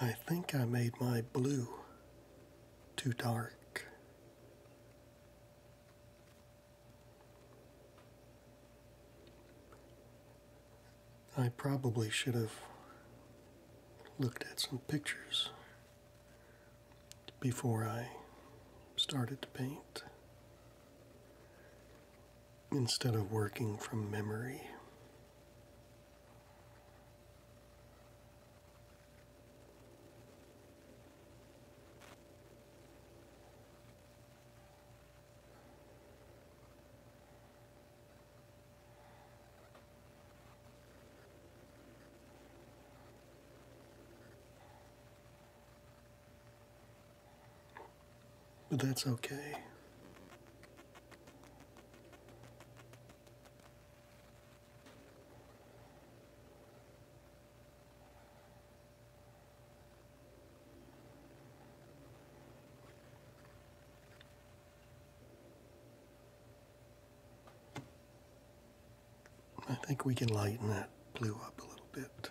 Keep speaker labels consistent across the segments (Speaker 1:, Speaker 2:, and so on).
Speaker 1: I think I made my blue too dark. I probably should have looked at some pictures before I started to paint instead of working from memory. But that's okay. I think we can lighten that blue up a little bit.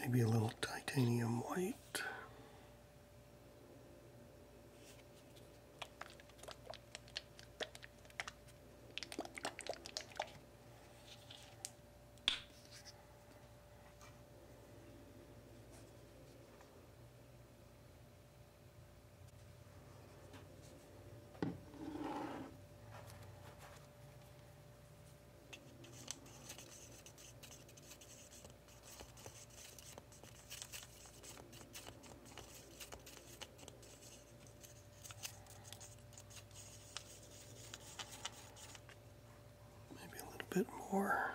Speaker 1: Maybe a little titanium white. Maybe a little bit more.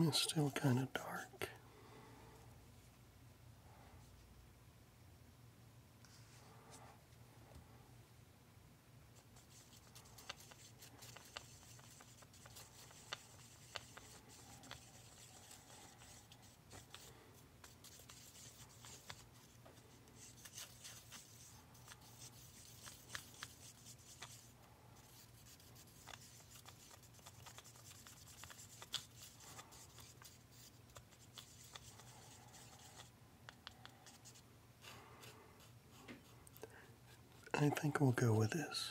Speaker 1: It's still kind of dark. I think we'll go with this.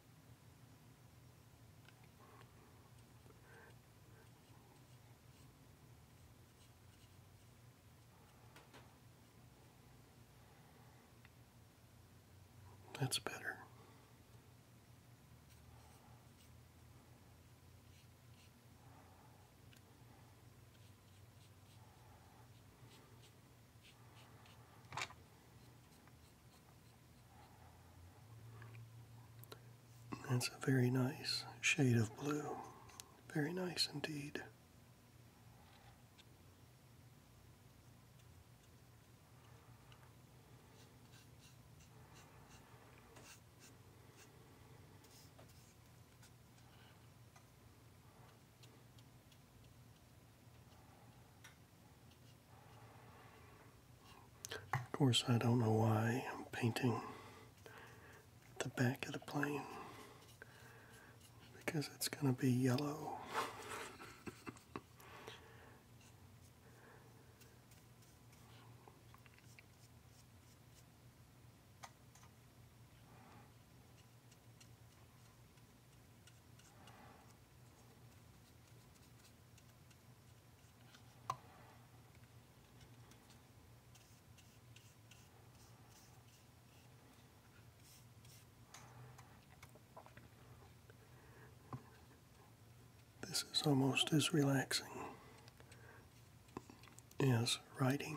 Speaker 1: That's better. That's a very nice shade of blue. Very nice indeed. Of course, I don't know why I'm painting the back of the plane because it's going to be yellow. This is almost as relaxing as writing.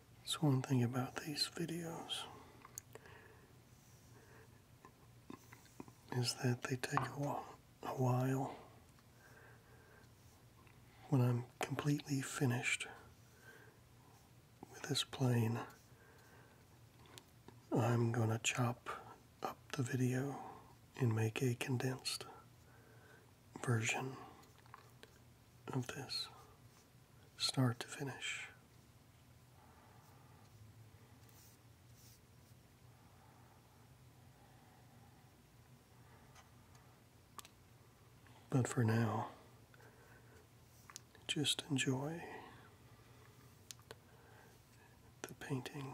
Speaker 1: It's one thing about these videos is that they take a while, a while. When I'm completely finished with this plane, I'm going to chop up the video and make a condensed version of this start to finish. But for now, just enjoy the painting.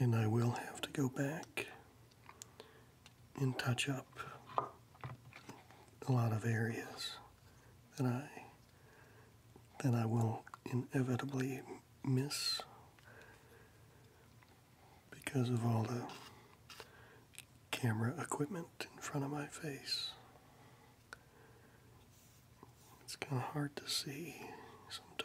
Speaker 1: And I will have to go back and touch up a lot of areas that I that I will inevitably miss because of all the camera equipment in front of my face. It's kind of hard to see sometimes.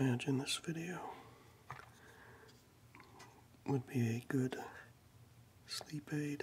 Speaker 1: I imagine this video would be a good sleep aid.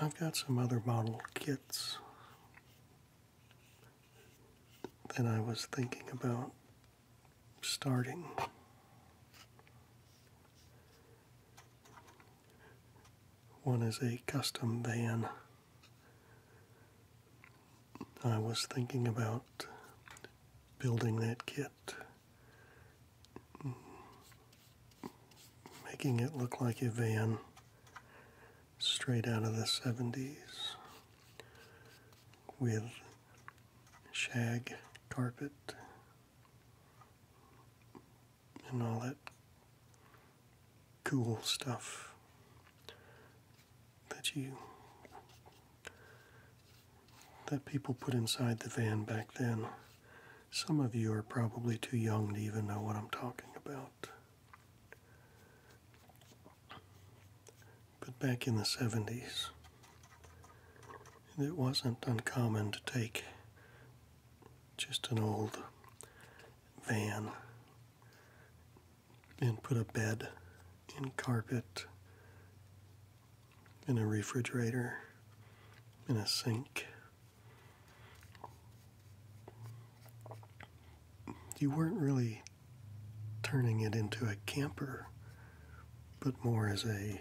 Speaker 1: I've got some other model kits that I was thinking about starting one is a custom van i was thinking about building that kit making it look like a van straight out of the 70s with shag carpet and all that cool stuff that you that people put inside the van back then. Some of you are probably too young to even know what I'm talking about but back in the 70s, it wasn't uncommon to take just an old van and put a bed and carpet and a refrigerator and a sink. You weren't really turning it into a camper, but more as a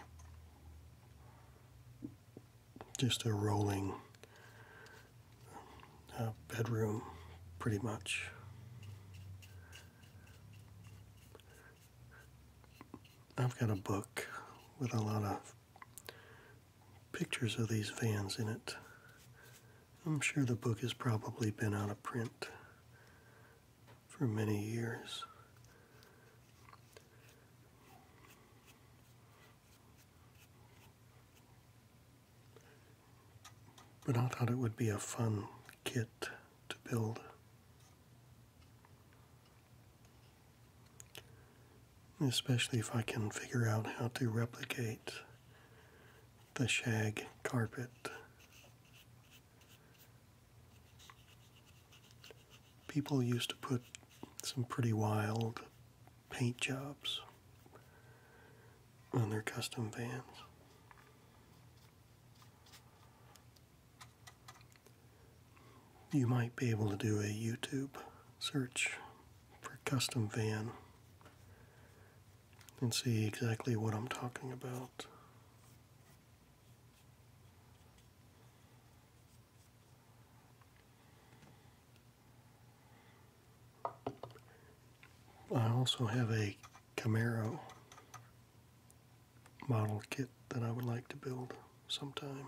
Speaker 1: just a rolling uh, bedroom, pretty much. I've got a book with a lot of pictures of these vans in it. I'm sure the book has probably been out of print for many years. But I thought it would be a fun kit to build. Especially if I can figure out how to replicate the shag carpet People used to put some pretty wild paint jobs on their custom vans. You might be able to do a YouTube search for custom van and see exactly what I'm talking about. I also have a Camaro model kit that I would like to build sometime.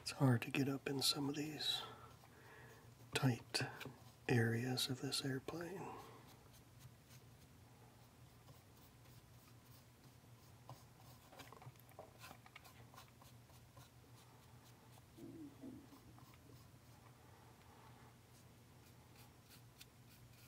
Speaker 1: It's hard to get up in some of these tight areas of this airplane.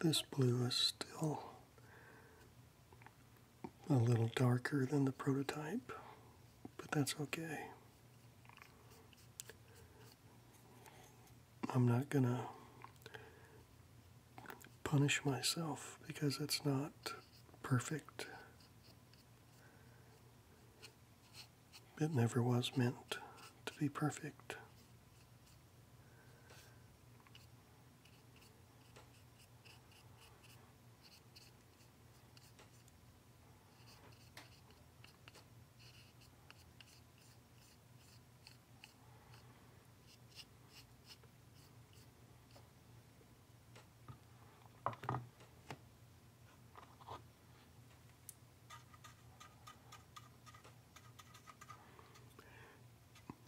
Speaker 1: This blue is still a little darker than the prototype, but that's okay. I'm not going to punish myself because it's not perfect. It never was meant to be perfect.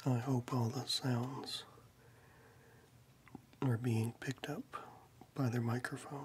Speaker 1: I hope all the sounds are being picked up by their microphone.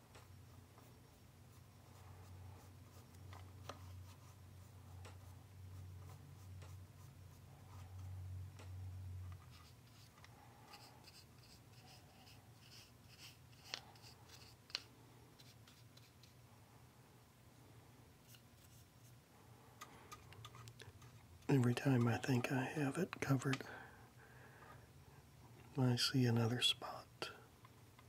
Speaker 1: Every time I think I have it covered, I see another spot.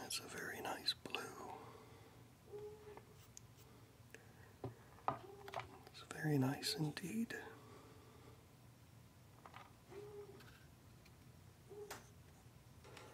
Speaker 1: That's a very nice blue. It's very nice indeed.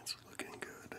Speaker 1: It's looking good.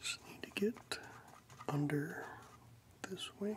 Speaker 1: Just need to get under this wing.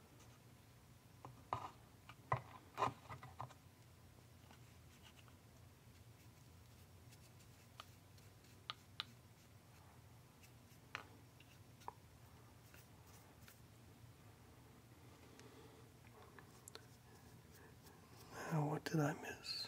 Speaker 1: now, what did I miss?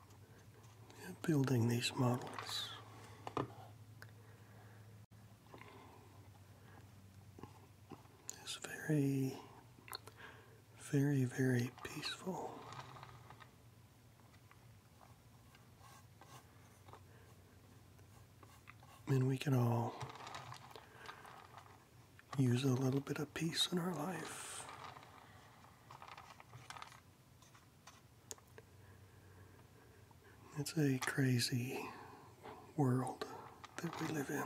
Speaker 1: building these models. It's very, very, very peaceful. And we can all use a little bit of peace in our life. It's a crazy world that we live in.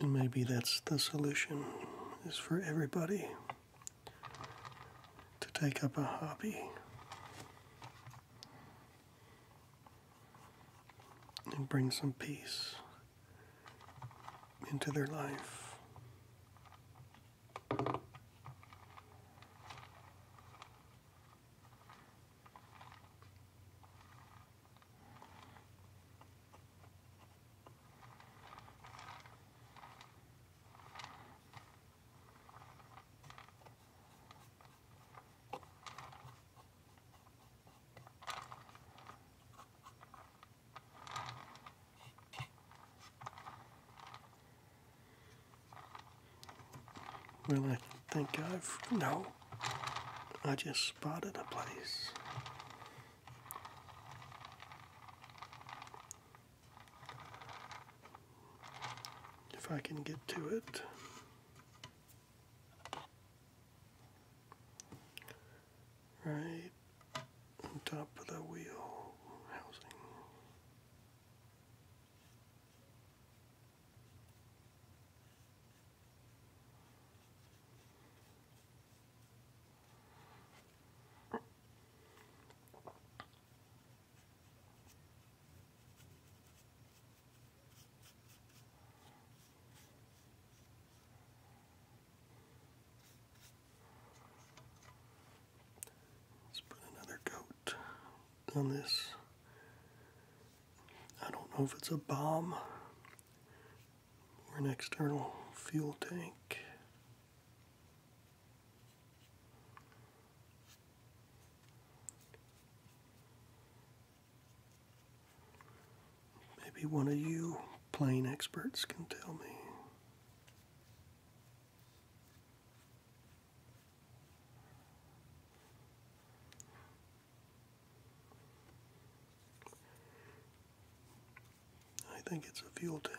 Speaker 1: And maybe that's the solution is for everybody to take up a hobby and bring some peace into their life. Well, I think I've. No. I just spotted a place if I can get to it. Right on top of the wheel housing. Let's put another coat on this. I don't know if it's a bomb or an external fuel tank. Maybe one of you plane experts can tell me. I think it's a fuel tank.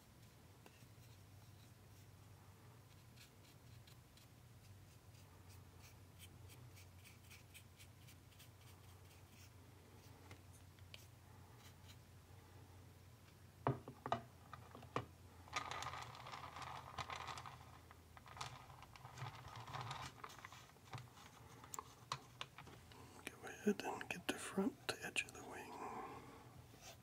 Speaker 1: Go ahead and get the front edge of the wing.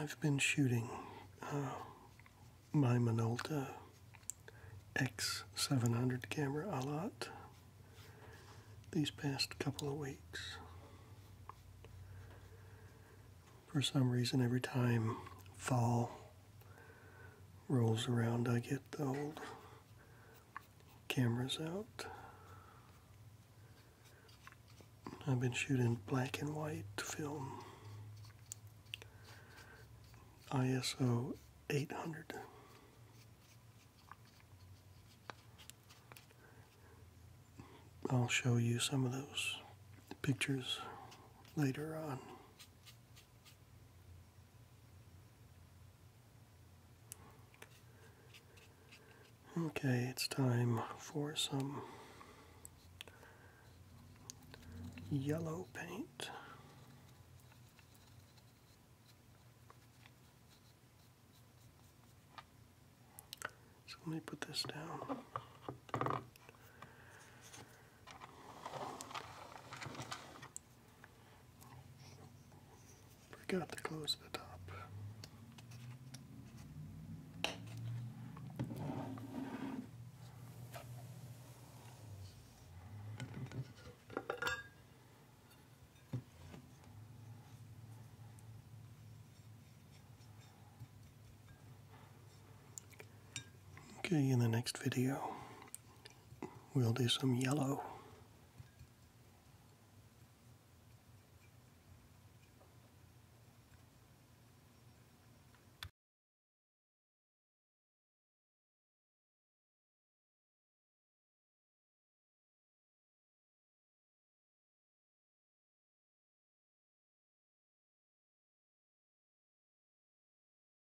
Speaker 1: I've been shooting uh, my Minolta X700 camera a lot these past couple of weeks. For some reason, every time fall rolls around, I get the old cameras out. I've been shooting black and white film, ISO 800. I'll show you some of those pictures later on. Okay, it's time for some yellow paint. So let me put this down. Forgot to close the top. Okay, in the next video, We'll do some yellow.